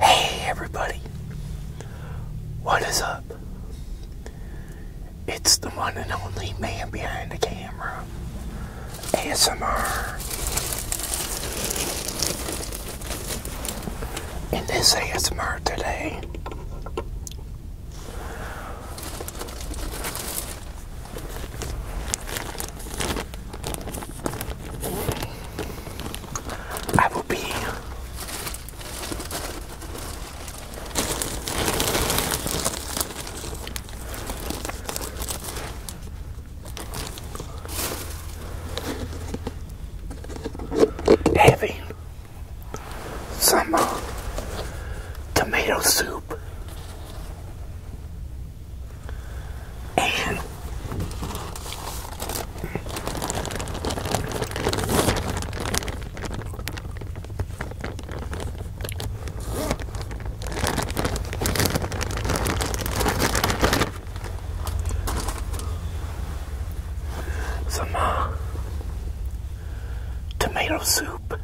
Hey everybody, what is up? It's the one and only man behind the camera, ASMR. In this ASMR today, I will be having some uh, tomato soup. And some tomato soup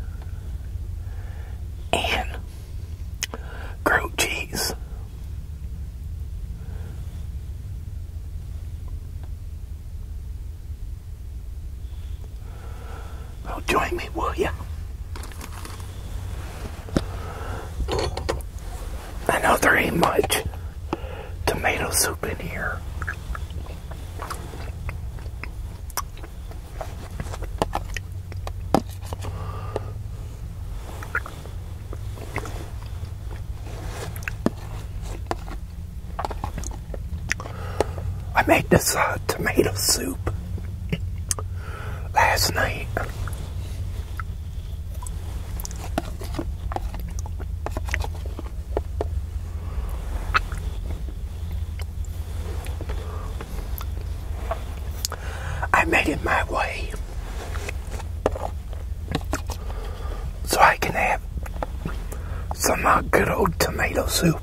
and grilled cheese. Well, oh, join me, will you? I know there ain't much tomato soup in here. I made this uh, tomato soup last night. I made it my way so I can have some uh, good old tomato soup.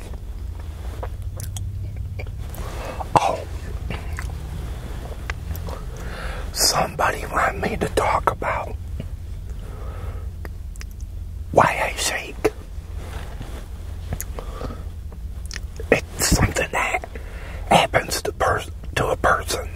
Oh, somebody want me to talk about why I shake. It's something that happens to, pers to a person.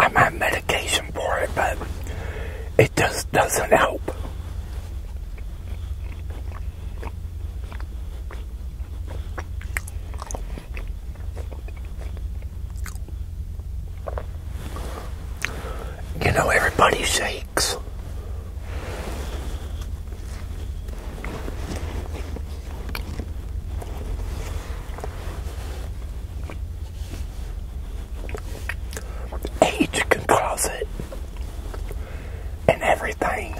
I'm on medication for it, but it just doesn't help. You know, everybody shakes. Age can cause it and everything.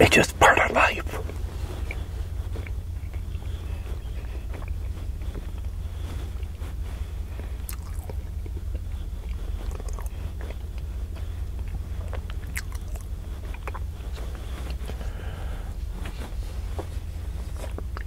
It's just part of life.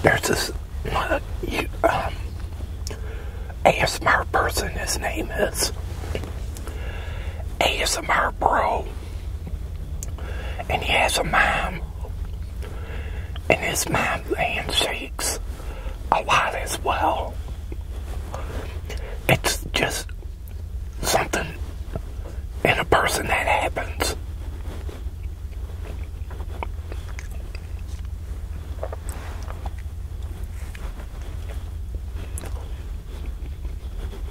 There's this uh, um, ASMR person, his name is ASMR Bro, and he has a mom and his mom shakes a lot as well. It's just something in a person that happens.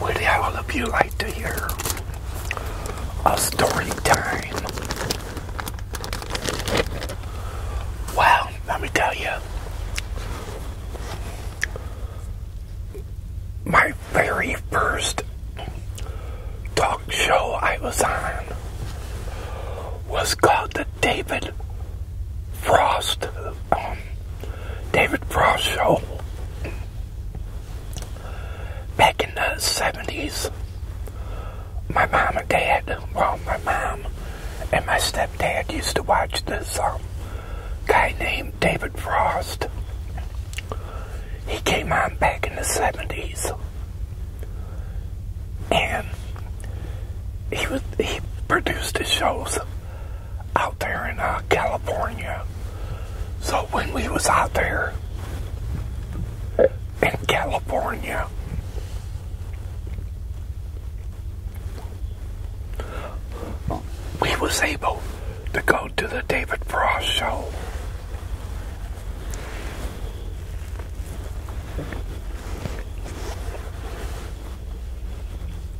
would all of you like to hear a story time? Wow, let me tell you. My very first talk show I was on was called the David Frost um, David Frost show back in the 70s. My mom and dad, well, my mom and my stepdad used to watch this um, guy named David Frost. He came on back in the 70s. And he was he produced his shows out there in uh, California. So when we was out there in California, we was able to go to the David Frost show.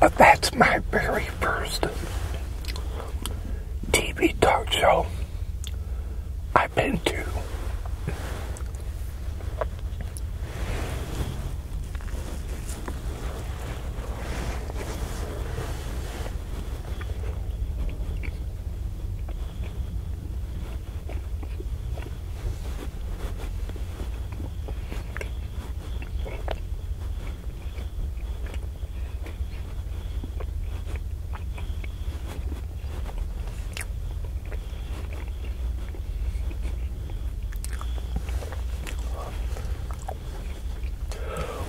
But uh, that's my very first TV talk show I've been to.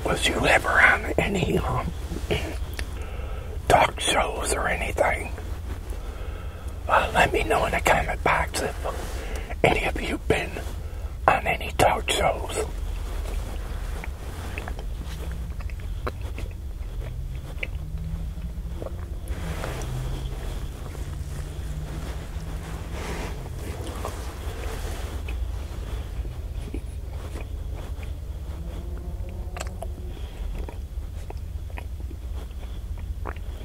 Was you ever on any um, talk shows or anything? Uh, let me know in the comment box if any of you been on any talk shows.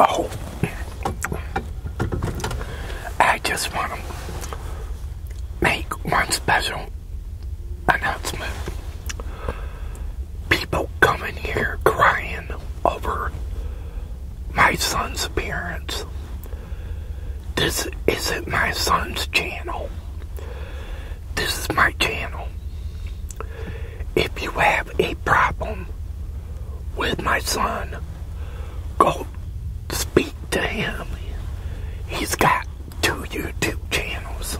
Oh, I just want to make one special announcement. People coming here crying over my son's appearance. This isn't my son's channel. This is my channel. If you have a problem with my son, go speak to him. He's got two YouTube channels.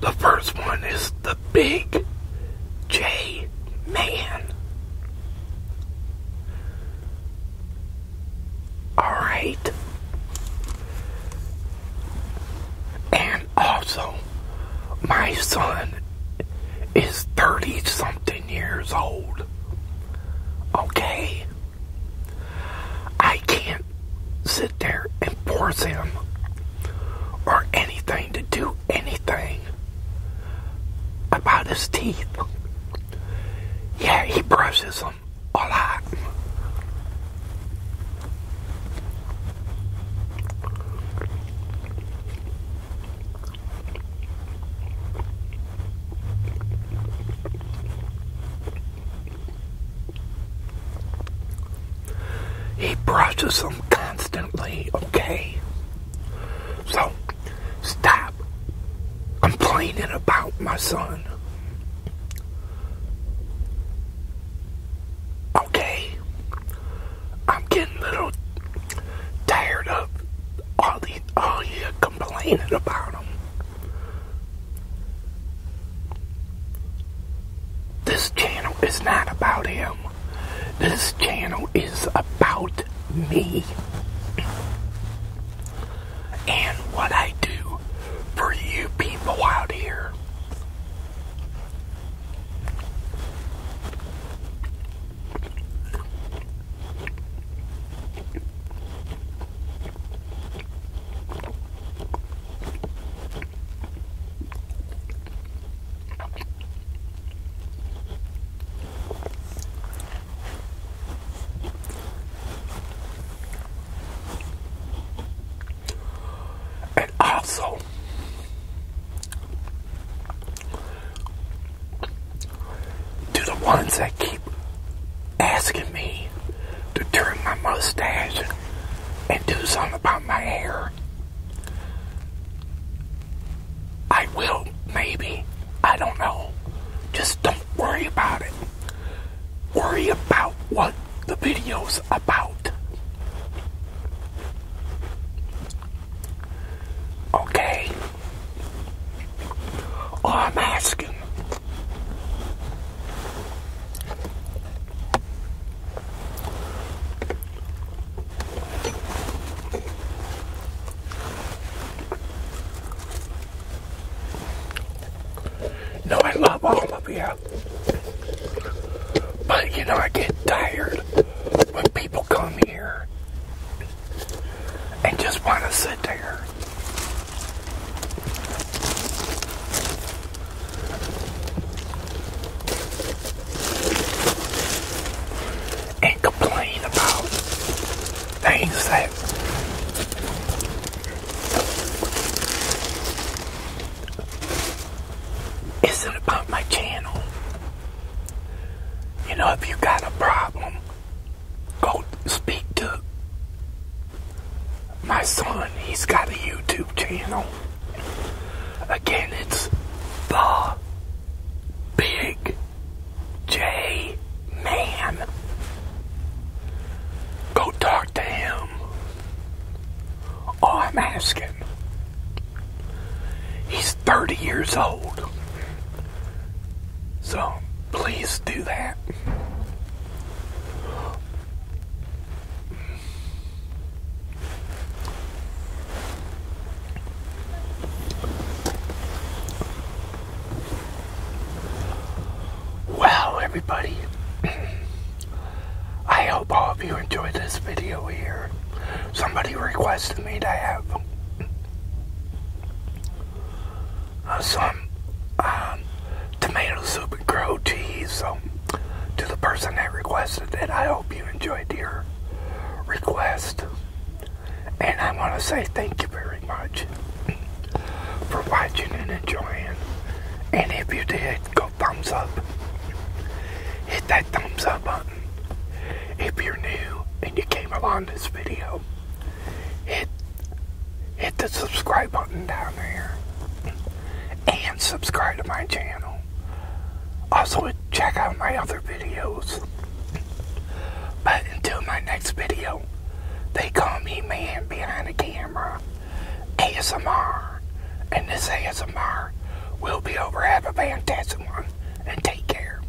The first one is the Big J Man. Alright. And also, my son is 30 something years old. Okay? I can't sit there and force him or anything to do anything about his teeth. Yeah, he brushes them a lot. He brushes them constantly, okay? So, stop complaining about my son. Okay? I'm getting a little tired of all these, all oh, you complaining about him. This channel is not about him. This channel is about me and what I do for you people out here. And also, to the ones that keep asking me to trim my mustache and do something about my hair. I will, maybe. I don't know. Just don't worry about it. Worry about what the video's about. Okay. I'm asking No, I love all of you. But you know, I get tired when people come here and just want to sit there. And complain about things that isn't about my channel. You know, if you got a problem go speak to my son. He's got a YouTube channel. Again, it's the Big J Man. Go talk to him. Oh, I'm asking. He's 30 years old. So please do that. Well, everybody, I hope all of you enjoyed this video here. Somebody requested me to have uh, some um, tomato soup and grilled cheese. So, to the person that requested it, I hope you enjoyed your request. And I want to say thank you very much for watching and enjoying. And if you did, go thumbs up. Hit that thumbs up button. If you're new and you came along this video, hit hit the subscribe button down there and subscribe to my channel. Also check out my other videos. But until my next video, they call me man behind the camera, ASMR, and this ASMR will be over. Have a fantastic one and take care.